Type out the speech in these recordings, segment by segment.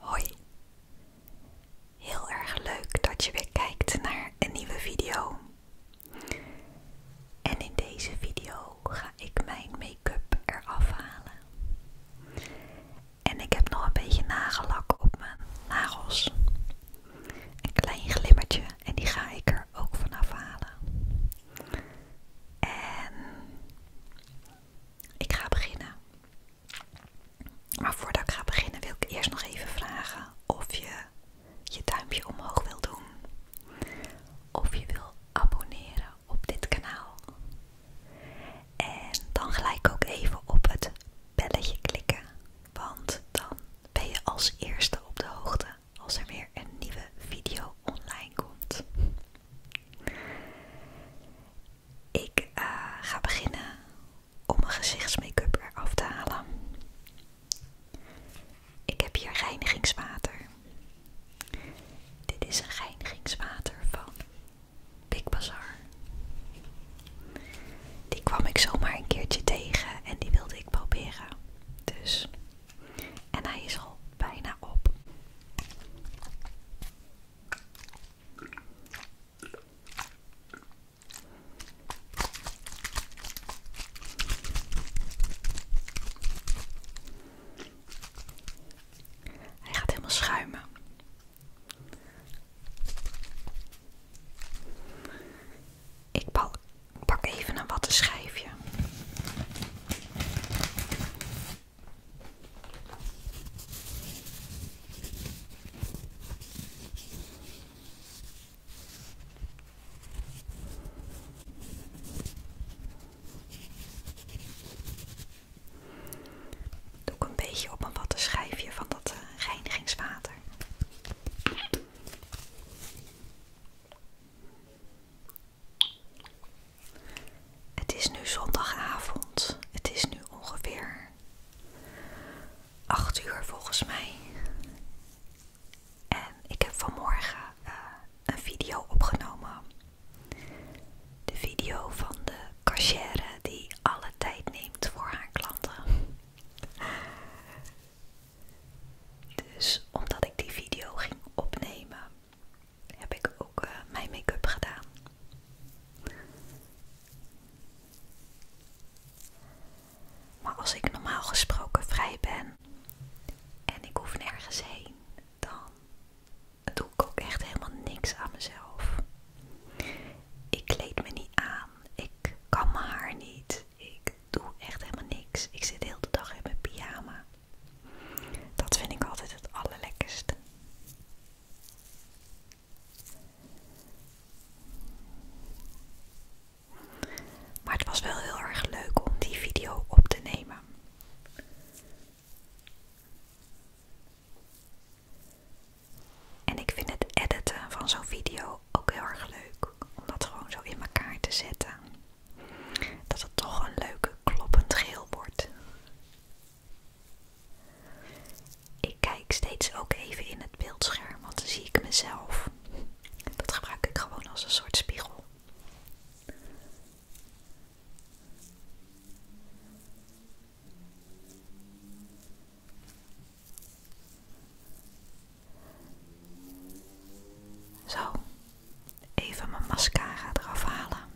Hoi, heel erg leuk dat je weer kijkt naar een nieuwe video. En in deze video ga ik mijn make-up eraf halen. En ik heb nog een beetje nagellak op mijn nagels. Een klein glimmertje en die ga ik er ook vanaf halen. En ik ga beginnen. Maar voordat ik ga beginnen wil ik eerst nog even vragen of je je duimpje omhoog wil doen. Of je wil abonneren op dit kanaal. En dan gelijk ook even op het belletje klikken. Want dan ben je als eerste op de hoogte als er weer een nieuwe video online komt. Ik eh, ga beginnen om mijn gezichtsmake-up af te halen. Ik heb hier reinigingswater. Dit is een reinigingswater van Big Bazaar. Die kwam ik zomaar een keertje tegen en die wilde ik proberen. Dus en hij is al bijna op. Hij gaat helemaal schuimen. Ik pak even een schijfje. Doe ik een beetje op een schijfje van dat eh, reinigingswater. Het is nu zondagavond. Het is nu ongeveer 8 uur volgens mij. En ik heb vanmorgen eh, een video opgenomen. De video van de kassière die alle tijd neemt voor haar klanten. Dus omdat ik die video ging opnemen, heb ik ook eh, mijn make-up gedaan. Maar als ik normaal gesproken vrij ben en ik hoef nergens heen, dan doe ik ook echt helemaal niks aan mezelf. Ik kleed me niet aan, ik kan mijn haar niet, ik doe echt helemaal niks. Ik zit de hele dag in mijn pyjama. Dat vind ik altijd het allerlekkerste. Maar het was wel heel erg leuk om die video op te nemen. En ik vind het editen van zo'n video ook heel erg leuk om dat gewoon zo in elkaar te zetten. Dat het toch een leuke kloppend geel wordt. Ik kijk steeds ook even in het beeldscherm, want dan zie ik mezelf. Dat gebruik ik gewoon als een soort spiegel. Zo, even mijn mascara eraf halen.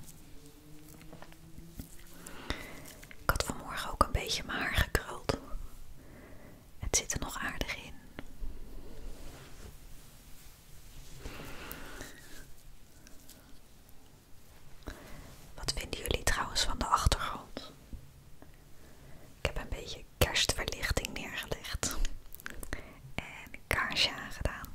Ik had vanmorgen ook een beetje mijn haar gekruld. Het zit er nog aardig in. Wat vinden jullie trouwens van de achtergrond? Ik heb een beetje kerstverlichting neergelegd en een kaarsje aangedaan.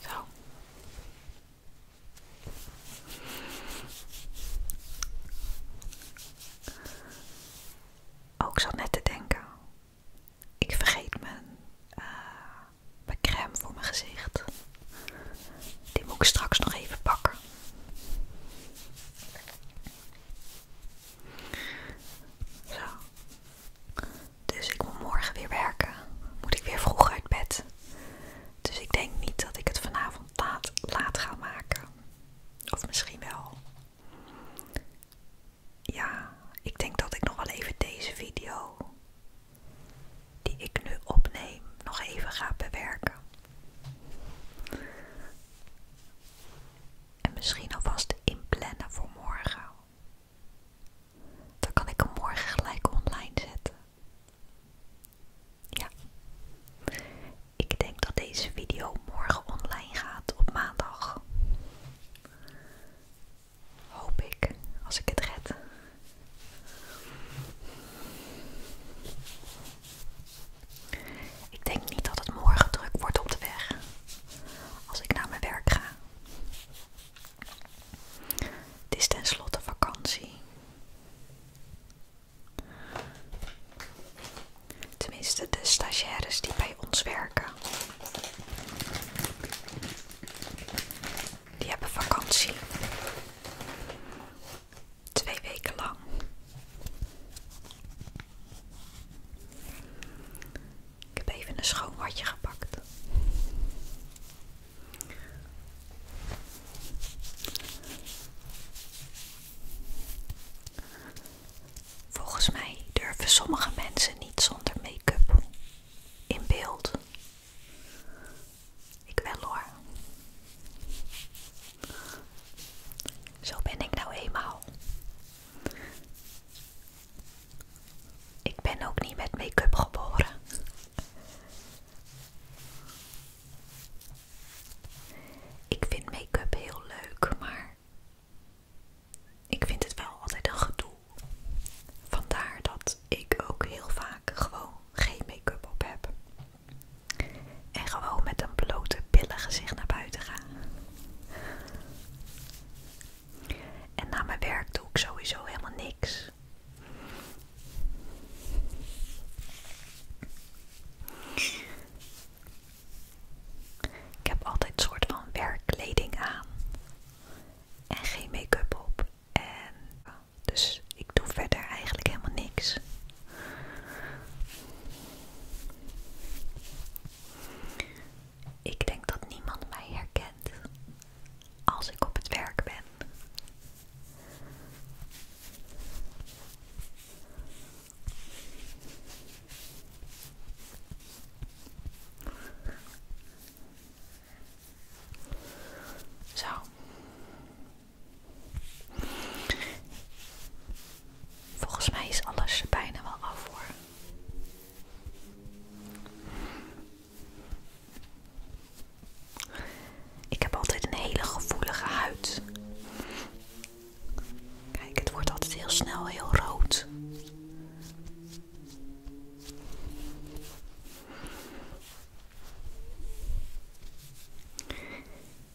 Zo. Ook zo net te denken ik vergeet eh, mijn, crème voor mijn gezicht. Die moet ik straks nog even pakken. Zo. Dus ik moet morgen weer werken. Moet ik weer vroeg uit bed. Dus ik denk niet dat ik het vanavond laat, laat ga maken. Of misschien wel. Ja, ik denk dat ik nog wel even deze video die ik nu opneem nog even ga bewerken. En misschien alvast inplannen voor morgen. Dan kan ik hem morgen gelijk online zetten. Ja. Ik denk dat deze video morgen online gaat op maandag. Hoop ik, als ik het red. Ik denk niet dat het morgen druk wordt op de weg als ik naar mijn werk ga. Het is tenslotte vakantie. Tenminste, de stagiaires die bij ons werken. Die hebben vakantie. Twee weken lang. Ik heb even een schoon watje gepakt. Volgens mij durven sommige mensen niet zonder make-up in beeld. Ik wel hoor. Zo ben ik nou eenmaal. Ik ben ook niet met make-up geboren. Ik vind make-up heel leuk, maar ik vind het wel altijd een gedoe. Vandaar dat ik ook heel vaak gewoon geen make-up op heb. En gewoon met een blote pillen gezicht naar buiten ga. En na mijn werk doe ik sowieso helemaal niks. Ik heb altijd een soort van werkkleding aan en geen make-up op. En, dus ik doe verder eigenlijk helemaal niks. Ik denk dat niemand mij herkent als ik op het werk ben. Zo. Volgens mij is alles bijna wel af voor. Ik heb altijd een hele gevoelige huid. Kijk, het wordt altijd heel snel heel rood.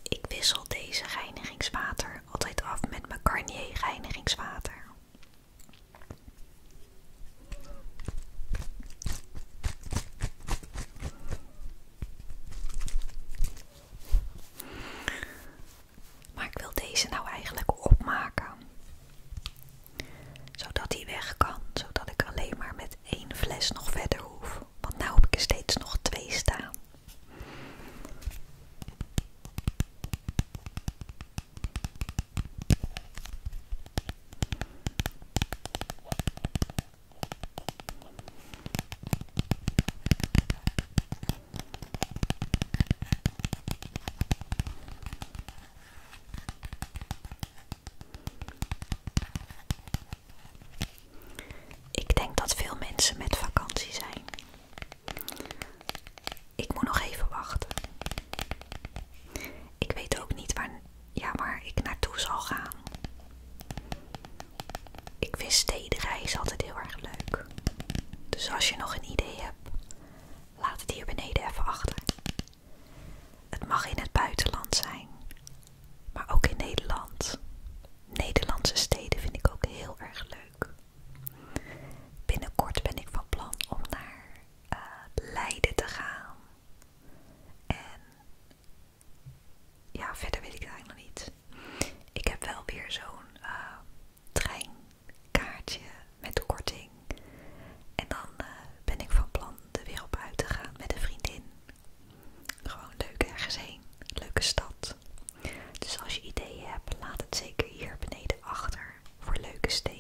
Ik wissel deze reinigingswater altijd af met mijn Carnier reinigingswater. Maar ik wil deze nou eigenlijk opmaken. Zodat die weg kan. Zodat ik alleen maar met één fles nog verder hoef. Want nu heb ik er steeds nog twee staan. Ik denk dat veel mensen met vakantie zijn. Ik moet nog even wachten. Ik weet ook niet waar, ja, waar ik naartoe zal gaan. Ik vind stedenreizen altijd heel erg leuk. Dus als je nog een idee hebt, laat het hier beneden even achter. Het mag in het buitenland zijn, maar ook in Nederland. Nederlandse steden vind ik ook heel erg leuk. Binnenkort ben ik van plan om naar eh, Leiden te gaan. En ja, verder weet ik het eigenlijk nog niet. Ik heb wel weer zo'n eh, treinkaartje met korting. En dan eh, ben ik van plan de weer op uit te gaan met een vriendin. Gewoon leuk ergens heen. Leuke stad. Dus als je ideeën hebt, laat het zeker hier beneden achter voor leuke steden.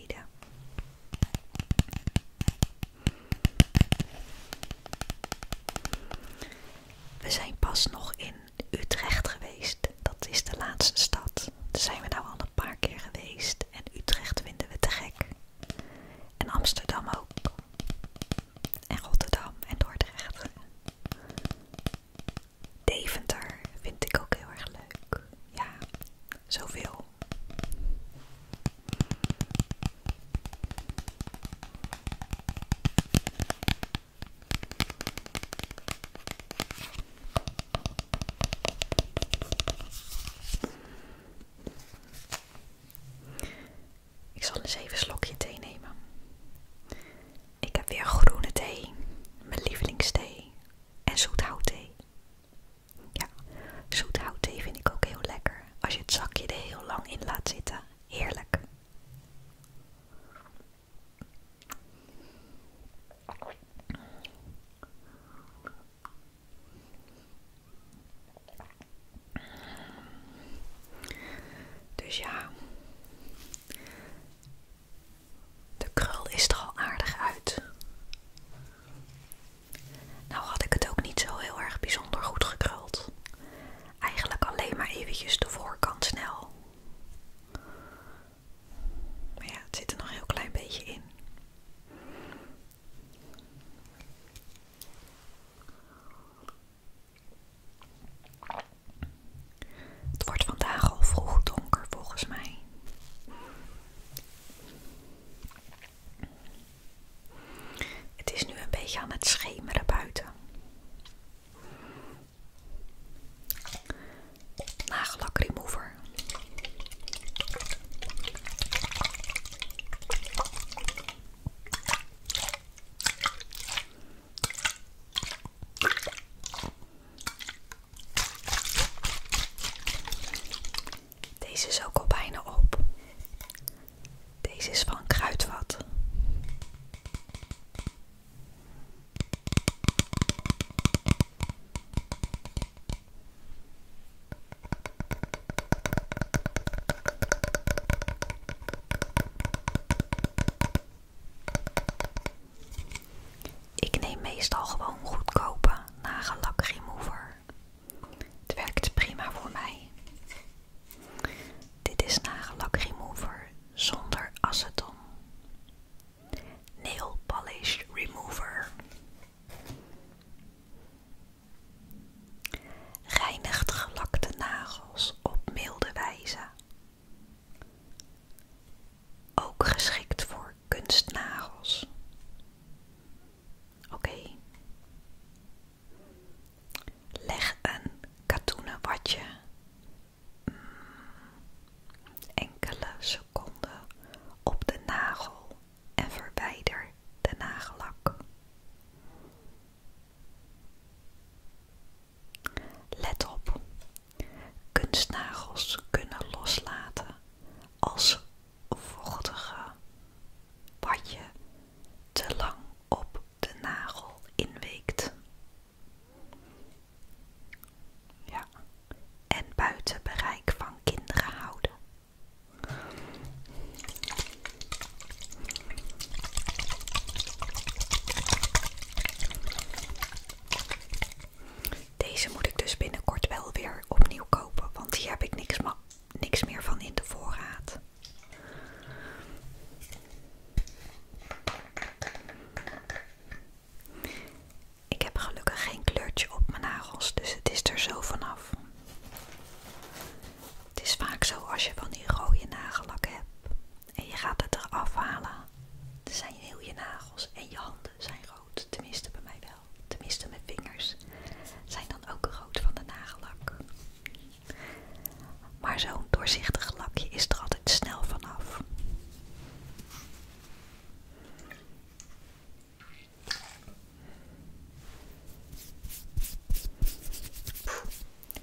We zijn pas nog in Utrecht geweest. Dat is de laatste stad. Daar zijn we nou al een paar keer geweest. En Utrecht vinden we te gek. En Amsterdam ook. En Rotterdam en Dordrecht. Deventer vind ik ook heel erg leuk. Ja, zoveel. Ik zal een zeven slokje thee nemen. Ik heb weer groene thee, mijn lievelingsthee en thee. Ja, thee vind ik ook heel lekker als je het zakje er heel lang in laat zitten. Heerlijk. Dus ja, de krul is er al aardig uit. Nou had ik het ook niet zo heel erg bijzonder goed gekruld. Eigenlijk alleen maar eventjes de voorkant snel. Maar ja, het zit er nog heel klein beetje in. Het wordt vandaag al vroeg donker volgens mij. Het is nu een beetje aan het schemeren buiten. Nagellak remover. Deze is ook al bijna op. Deze is van Kruidvat. Ik neem meestal gewoon goedkope nagellak remover. Het werkt prima voor mij. Dit is nagellak remover zonder aceton. Nail polish remover. Reinigt gelakte nagels op milde wijze. Ook geschikt voor kunstnagels. Oké. Leg een katoenen watje mm, enkele seconden op de nagel en verwijder de nagellak. Let op, kunstnagels kunnen loslaten als vochtige je te lang op de nagel inweekt. Ja. En buiten bereik van kinderen houden. Deze moet ik dus binnenkort wel weer opnieuw kopen, want hier heb ik niks, meer niks meer van in de voorraad. Ik heb gelukkig geen kleurtje op mijn nagels, dus het is er zo vanaf. Het is vaak zo als je van die rode nagellak hebt en je gaat het eraf halen. Dan zijn heel je nagels en je handen zijn rood, tenminste bij mij wel tenminste mijn vingers, zijn dan ook rood van de nagellak. Maar zo'n doorzichtig lakje is er altijd snel vanaf.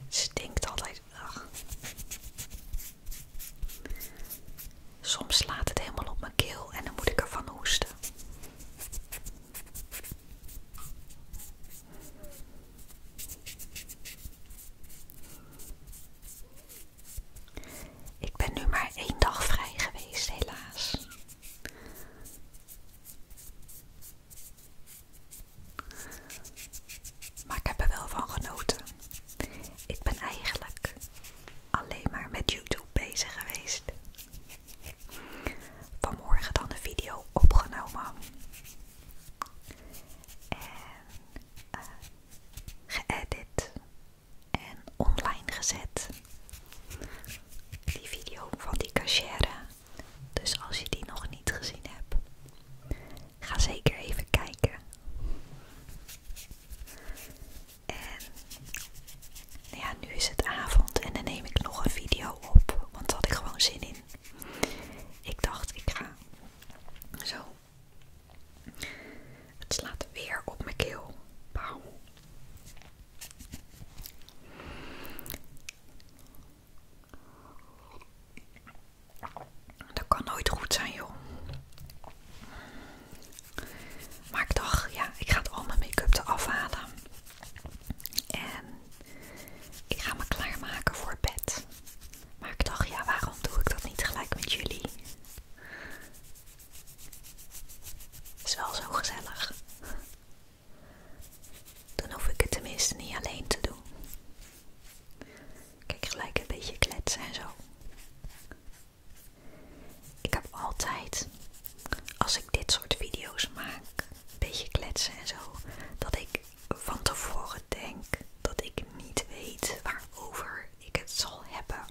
Stinkt altijd. Soms laat het helemaal op mijn keel en dan moet ik ervan hoesten. Ik ben nu maar één dag vrij geweest, helaas. Maar ik heb er wel van genoten. Ik ben eigenlijk alleen maar met YouTube bezig geweest vanmorgen dan een video opgenomen. En eh, geëdit en online gezet. Die video van die cachère. Dus als je die nog niet gezien hebt, ga zeker even kijken. En ja, nu is het avond en dan neem ik nog een video op, want daar had ik gewoon zin in. Ik dacht, ik ga zo. Het slaat weer op mijn keel. Dat kan nooit goed zijn, joh. Maar ik dacht, ja, ik ga al mijn make-up eraf halen. En ik ga me klaarmaken voor bed. Maar ik dacht, ja, waarom doe ik dat niet gelijk met jullie? Is wel zo gezellig. Dan hoef ik het tenminste niet alleen te doen. Kijk, gelijk een beetje kletsen en zo. Ik heb altijd, als ik dit soort video's maak, een beetje kletsen en zo, dat ik van tevoren denk dat ik niet weet waarover ik het zal hebben.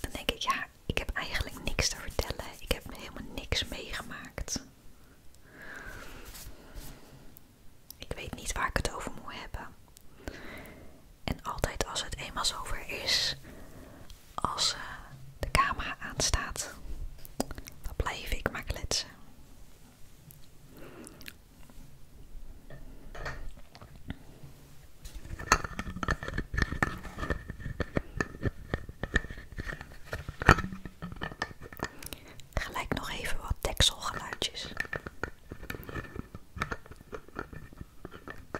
Dan denk ik, ja, ik heb eigenlijk niks te vertellen. Ik heb helemaal niks meegemaakt. Ik weet niet waar ik het over moet hebben. En altijd als het eenmaal over is, als eh, de camera aanstaat, dan blijf ik maar Gelijk nog even wat dekselgeluidjes.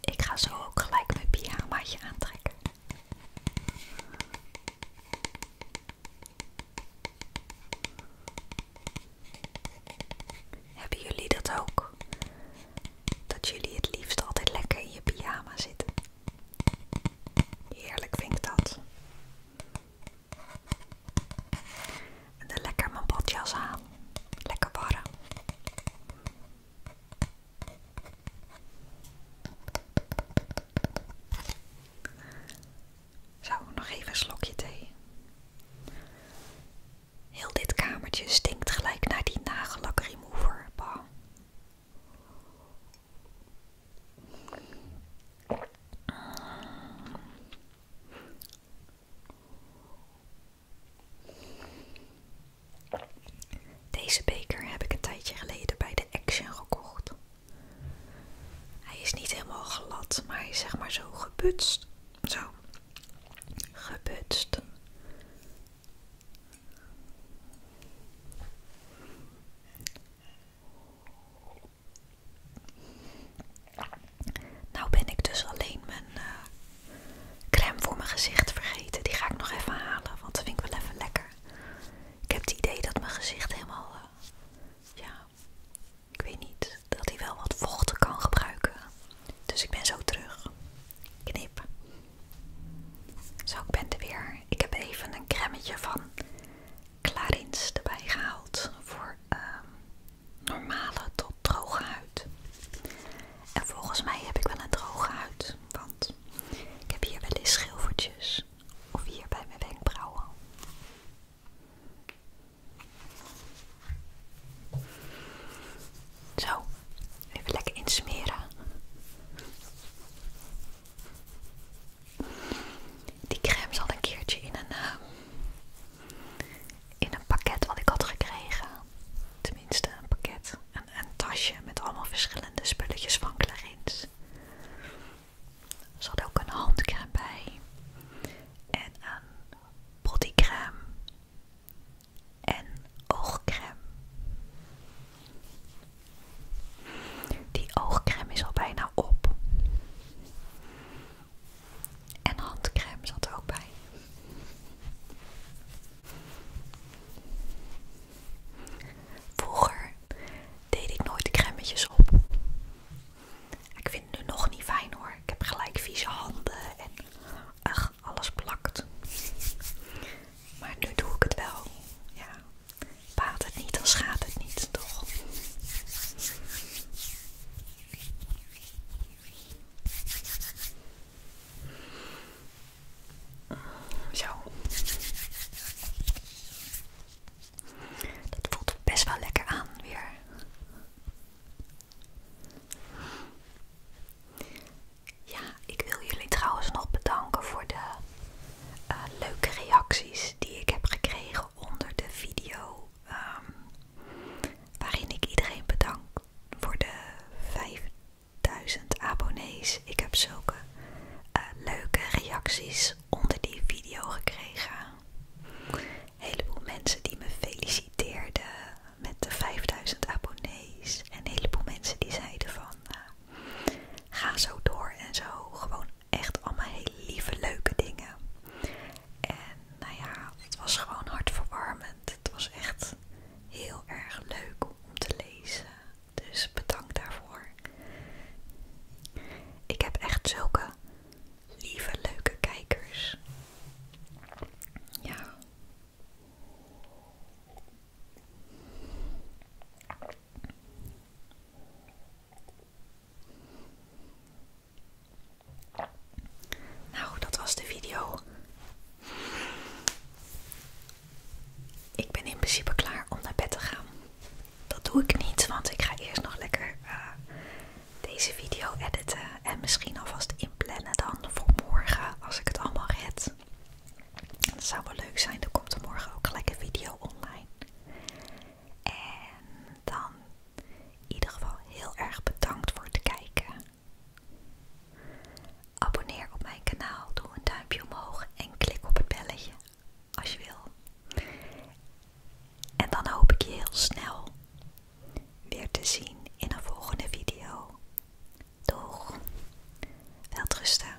Ik ga zo ook gelijk mijn pyjamaatje aantrekken. Hebben jullie dat ook? Dat jullie het liefst altijd lekker in je pyjama zitten. Heerlijk vind ik dat. En lekker mijn badjas aan. Lekker warm. Zo, nog even een slokje thee. Heel dit kamertje stinkt gelijk naar die nagellak remover. Bah. Deze beker heb ik een tijdje geleden bij de Action gekocht. Hij is niet helemaal glad, maar is zeg maar zo gebutst. Zo. Gebutst. Nou ben ik dus alleen mijn eh, crème voor mijn gezicht vergeten. Die ga ik nog even halen, want dat vind ik wel even lekker. Ik heb het idee dat mijn gezicht helemaal, eh, ja, ik weet niet, dat hij wel wat vocht kan gebruiken. Dus ik ben zo terug. Knip. Zo, ik ben er weer. Ik heb even een cremmetje van Clarins erbij gehaald voor ehm, normale tot droge huid. En volgens mij heb ik wel een droge huid, want ik heb hier wel eens schilfertjes of hier bij mijn wenkbrauwen. Zo, even lekker insmeren. Die crème zat een keertje in een, ehm, in een pakket wat ik had gekregen. Tenminste, een pakket. Een, tasje met allemaal verschillende spulletjes van Clarins. Er ook een handcrème bij. En een bodycrème. En oogcrème. Die oogcrème is al bijna op. En handcrème zat er ook bij. Vroeger deed ik nooit crèmetjes op. Ik vind het nu nog niet fijn hoor. Ik heb gelijk vieze handen en ach, alles plakt. Maar nu doe ik het wel. Ja. het niet, dan schaadt het niet, toch? Zo. Dat voelt best wel lekker aan weer. Ja, ik wil jullie trouwens nog bedanken voor de eh, leuke reacties die ik heb gekregen onder de video ehm, waarin ik iedereen bedank voor de 5000 abonnees. Ik heb zulke eh, leuke reacties onder die video gekregen. Een heleboel mensen die me feliciteerden met de 5000 abonnees. En een heleboel mensen die zeiden van eh, ga zo door en zo. Gewoon echt allemaal hele lieve, leuke dingen. En nou ja, het was gewoon hartverwarmend. Het was echt heel erg leuk om te lezen. Dus bedankt daarvoor. Ik heb echt zulke lieve, leuke kijkers. Ja. Nou, dat was de video. Ik ben in principe klaar om naar bed te gaan. Dat doe ik niet, want ik ga eerst nog lekker eh, deze video editen en misschien alvast inplannen dan voor morgen als ik het allemaal red. Dat zou wel leuk zijn, Dan komt er morgen ook gelijk een video online. En dan in ieder geval heel erg bedankt voor het kijken. Abonneer op mijn kanaal, doe een duimpje omhoog en klik op het belletje als je wil. En dan hoop ik je heel snel weer te zien in een volgende video. Doeg! Welterusten!